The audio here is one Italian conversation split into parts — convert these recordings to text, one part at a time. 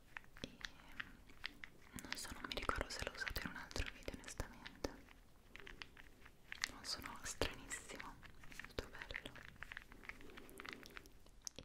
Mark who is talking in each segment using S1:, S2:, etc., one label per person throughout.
S1: e non so, non mi ricordo se l'ho usato in un altro video onestamente non sono stranissimo, molto bello e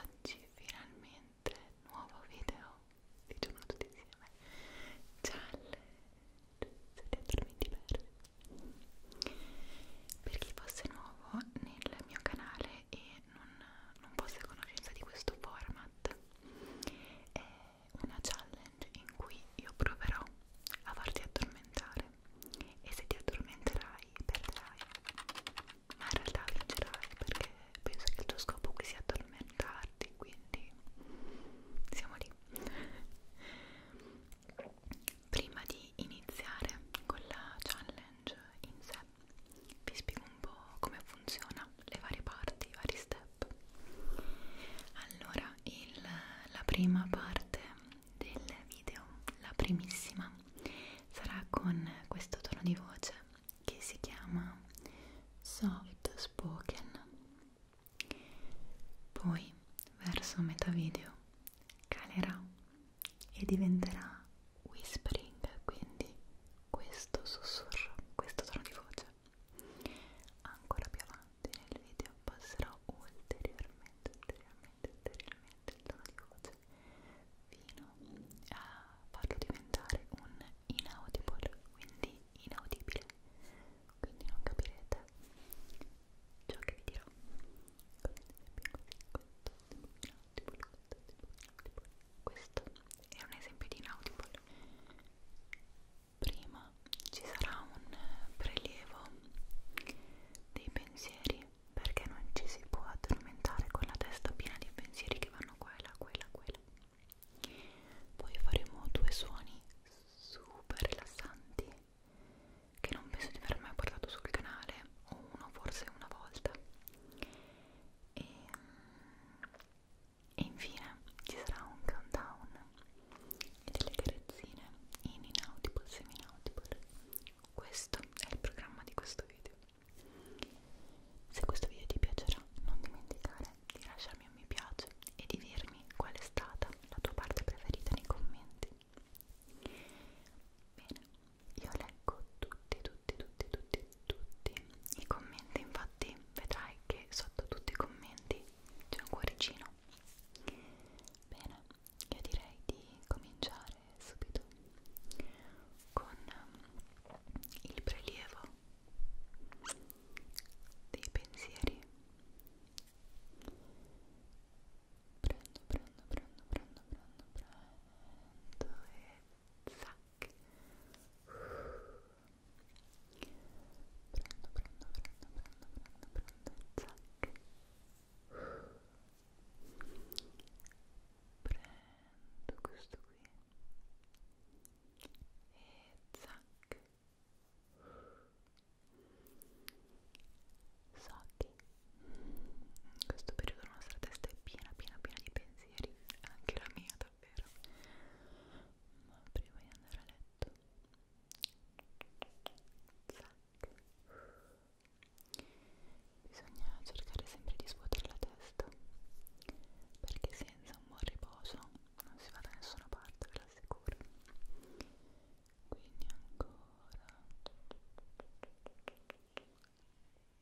S1: Oggi finalmente nuovo video, diciamo tutti insieme, challenge, siete mi diversi. Per chi fosse nuovo nel mio canale e non, non fosse a conoscenza di questo format, è una challenge in cui io proverò a farti addormentare e se ti addormenterai perderai ma in realtà vincerai perché penso che il tuo scopo qui sia addormentarti quindi siamo lì prima di iniziare con la challenge in sé vi spiego un po' come funziona le varie parti, i vari step allora il, la prima parte del video, la primissima, sarà con questo tono di voce che si chiama Soft Spoken. Poi, verso metà video, calerà e diventerà whispering, quindi questo sussurro, questo tono di voce. Ancora più avanti nel video passerò ulteriormente, ulteriormente, ulteriormente il tono di voce fino a farlo diventare un inaudible, quindi inaudibile, quindi non capirete ciò che vi dirò. Questo è un esempio di inaudible. Prima ci sarà un prelievo dei pensieri perché non ci si può addormentare con la testa piena di pensieri che vanno qua e là, qua e là, qua e là. Poi faremo due suoni super rilassanti che non penso di aver mai portato sul canale, o uno forse una volta. E, e infine ci sarà un countdown e delle carezzine in inaudible, semi-inaudible questo è il programma di questo video. Se questo video ti piacerà, non dimenticare di lasciarmi un mi piace e di dirmi qual è stata la tua parte preferita nei commenti. Bene, io leggo tutti, tutti, tutti, tutti, tutti i commenti, infatti vedrai che sotto tutti i commenti c'è un cuoricino. Bene, io direi di cominciare subito con ehm, il prelievo dei pensieri prendo, prendo, prendo, prendo, prendo, prendo e zac prendo, prendo, prendo, prendo, prendo, prendo, zac prendo questo qui e zac so che in questo periodo la nostra testa è piena piena piena di pensieri anche la mia davvero ma prima di andare a letto zac Bisogna cercare sempre di svuotare la testa, perché senza un buon riposo non si va da nessuna parte, ve lo assicuro. Quindi ancora...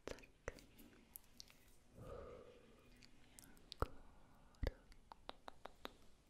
S1: Tac. E ancora... Tac.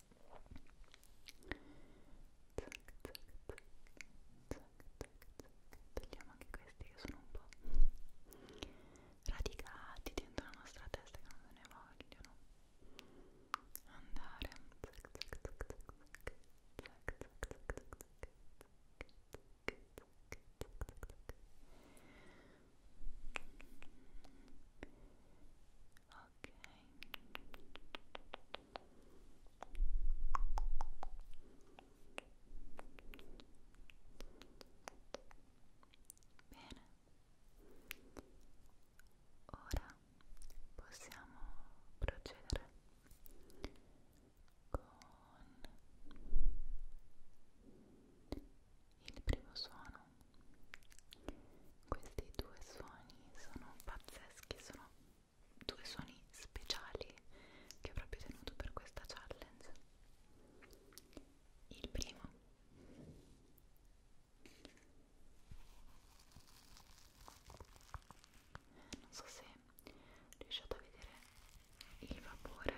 S1: zac, zac, zac, zac, zac. togliamo anche questi che sono un po' radicati dentro la nostra testa che non se ne vogliono andare zac, zac, zac, zac, zac. Zac, zac, zac, zac, zac. Bene, ora possiamo procedere con il primo suono questi due suoni sono pazzeschi, sono due suoni speciali che ho proprio tenuto per questa challenge. Il primo non so se riusciate a vedere il vapore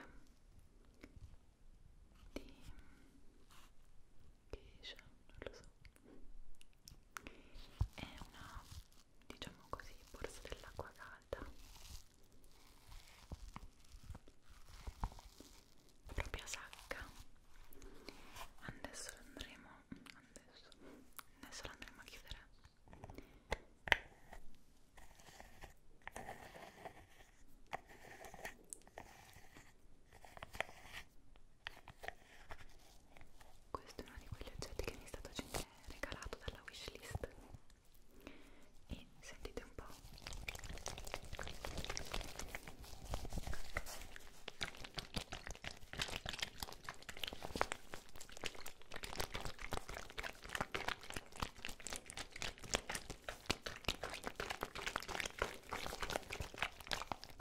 S1: di che esce, non lo so è una diciamo così borsa dell'acqua calda proprio sacca adesso andremo adesso, adesso andremo a chiudere questo è uno di quegli oggetti che mi è stato eh, regalato dalla wishlist. E sentite un po'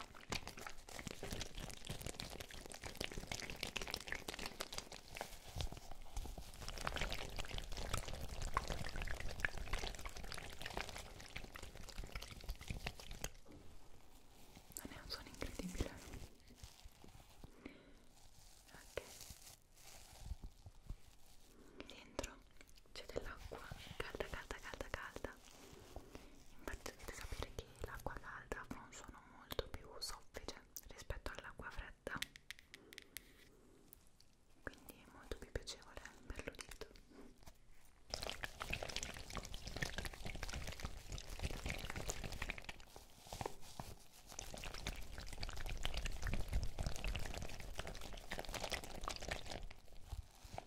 S1: non è un suono incredibile ok dentro c'è dell'acqua calda calda calda calda Infatti dovete sapere che l'acqua calda ha un suono molto più soffice rispetto all'acqua fredda quindi è molto più piacevole per l'udito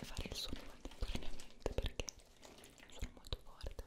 S1: e fare il suono contemporaneamente perché sono molto forte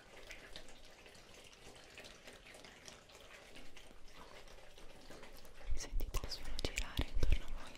S1: Sentite il suono girare intorno a voi.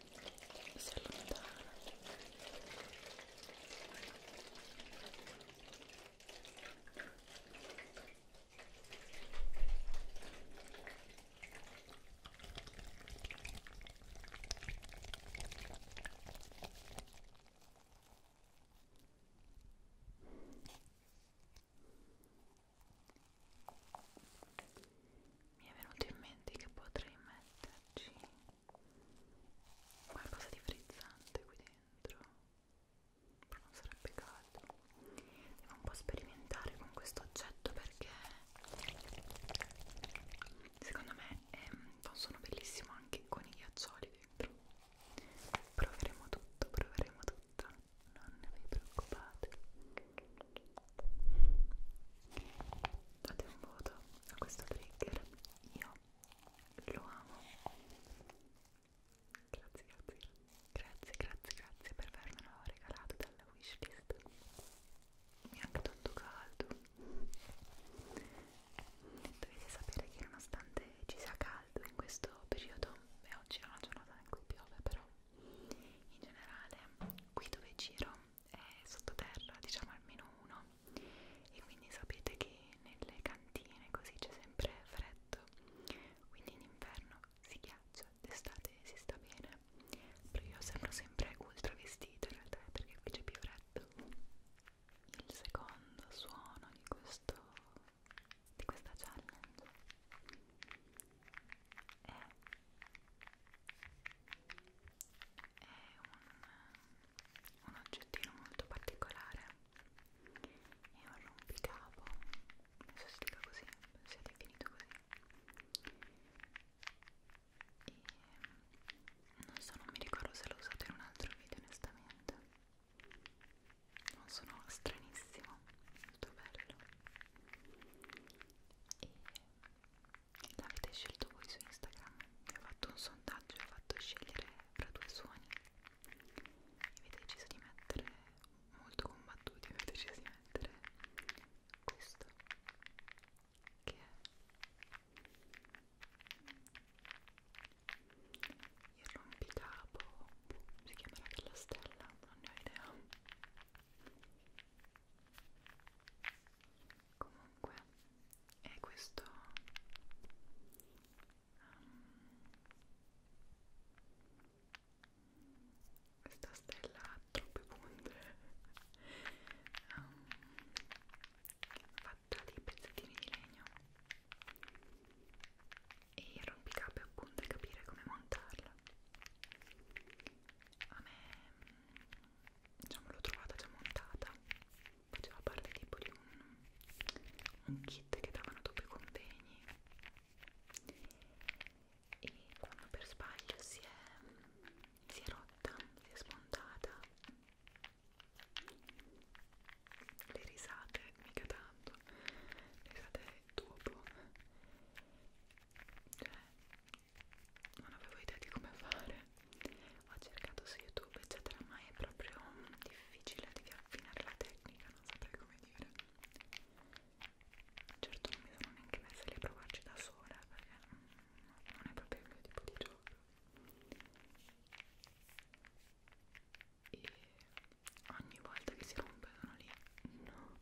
S1: si allontana mi è venuto in mente che potrei metterci qualcosa di frizzante qui dentro però non sarebbe caldo devo un po' sperimentare con questo oggetto perché secondo me ehm, sono bellissimo anche con i ghiaccioli dentro proveremo tutto proveremo tutto non vi preoccupate date un voto a questo trigger io lo amo grazie grazie grazie grazie grazie per avermelo regalato dalla wishlist mi è anche tanto caldo dovete sapere che nonostante ci sia caldo in questo periodo beh oggi è una giornata in cui piove però in generale qui dove giro è sottoterra, diciamo almeno uno, e quindi sapete che nelle cantine così c'è sempre freddo, quindi in inverno si ghiaccia, d'estate si sta bene, però io sembro sempre ultra vestito in realtà eh, perché qui c'è più freddo. Il secondo suono di questo di questa challenge è è un, un oggettino molto particolare è un rompicapo non so si dica così, si è definito così e non so, non mi ricordo se l'ho usato in un altro video onestamente non sono stranissimo molto bello e l'avete scelto voi su Instagram vi ho fatto un sondaggio vi ho fatto scegliere fra due suoni avete deciso di mettere molto combattuti avete deciso di mettere questo che è il rompicapo si chiamerà della stella non ne ho idea comunque è questo um, questa stella ha troppe punte um, fatta di pezzettini di legno e il rompicapo appunto è capire come montarla a me diciamo l'ho trovata già montata faceva parte tipo di un, un kit che davano dopo i convegni e quando per sbaglio si è, si è rotta, si è spuntata le risate, mica tanto le risate dopo cioè non avevo idea di come fare ho cercato su youtube eccetera ma è proprio mm, difficile devi affinare la tecnica non saprei come dire certo non mi sono neanche messa lì a provarci da sola perché mm, non è proprio il mio tipo di gioco e ogni volta che si rompe sono lì no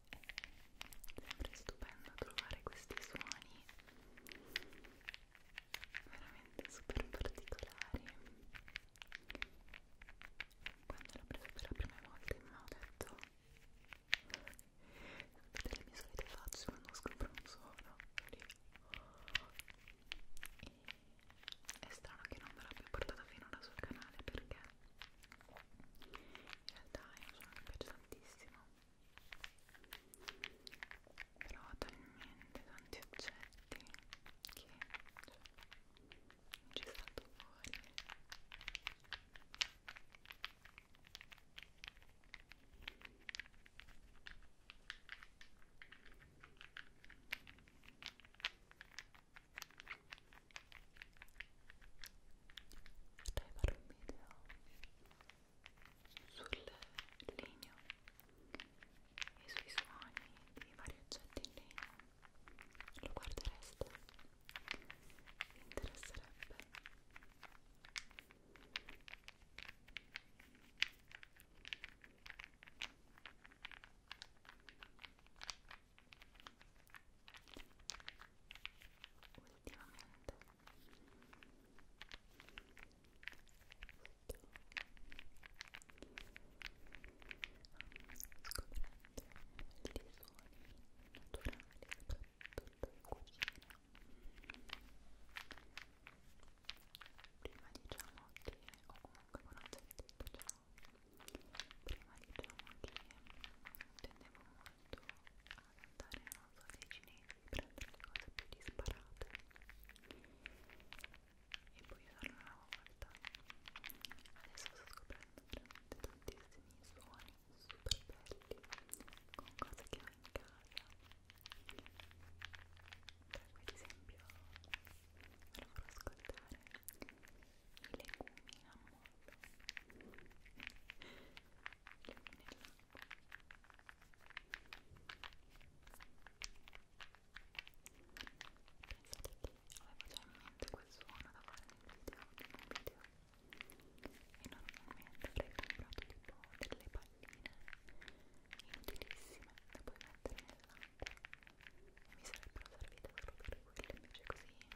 S1: sempre stupendo trovare questi suoni veramente super particolari quando l'ho preso per la prima volta in mano ho detto delle mie solite facce quando scopro un suono lì. E è strano che non me l'abbia portata finora sul canale perché in realtà è un suono che mi piace tantissimo però ho talmente tanti oggetti che cioè, non ci salto fuori potrei fare un video sul legno e sui suoni di vari oggetti in legno lo guardereste? vi interesserebbe? Io ultimamente sto scoprendo dei suoni naturali soprattutto in cucina prima diciamo che ho comunque una certa età prima diciamo che tendevo molto ad andare non so dei cinesi prendere le cose più disparate e poi usarle una volta adesso sto scoprendo veramente tantissimi suoni super belli con cose che ho in casa per esempio ve lo farò ascoltare legumi a mollo legumi nell'acqua pensate che avevo già in mente quel suono da fare nel video di un video e normalmente avrei comprato tipo delle palline inutilissime da poi mettere nell'acqua e mi sarebbero servite proprio per quelle invece così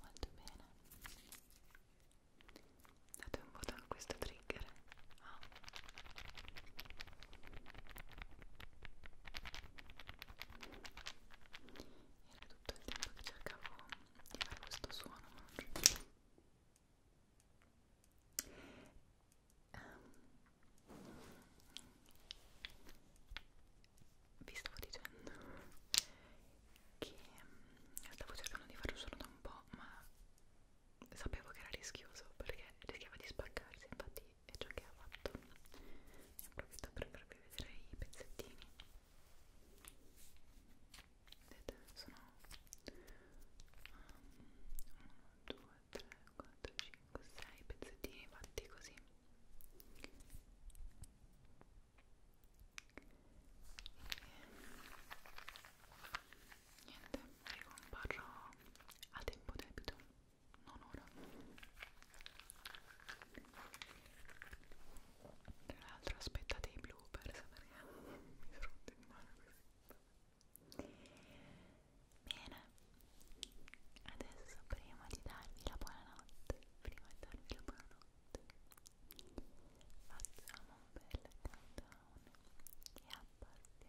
S1: Molto bene. Date un voto a questo trigger. Ah. Era tutto il tempo che cercavo di fare questo suono, ma non riuscivo. Um, vi stavo dicendo che eh, stavo cercando di farlo solo da un po', ma sapevo che era rischioso perché rischiava di spaccarsi, infatti è ciò che ha fatto ne approfitto per farvi vedere i pezzettini vedete sono 1 2 3 4 5 6 pezzettini fatti così e niente ricomparrò a tempo debito non ora tra l'altro aspettate i bloopers perché mi rotto in mano così bene adesso prima di darvi la buonanotte prima di darvi la buonanotte facciamo un bel countdown e appartiamo il tono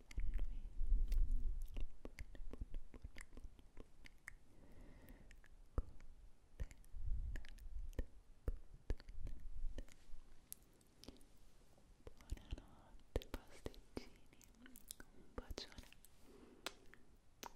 S1: buonanotte pasticcini un bacione che rispero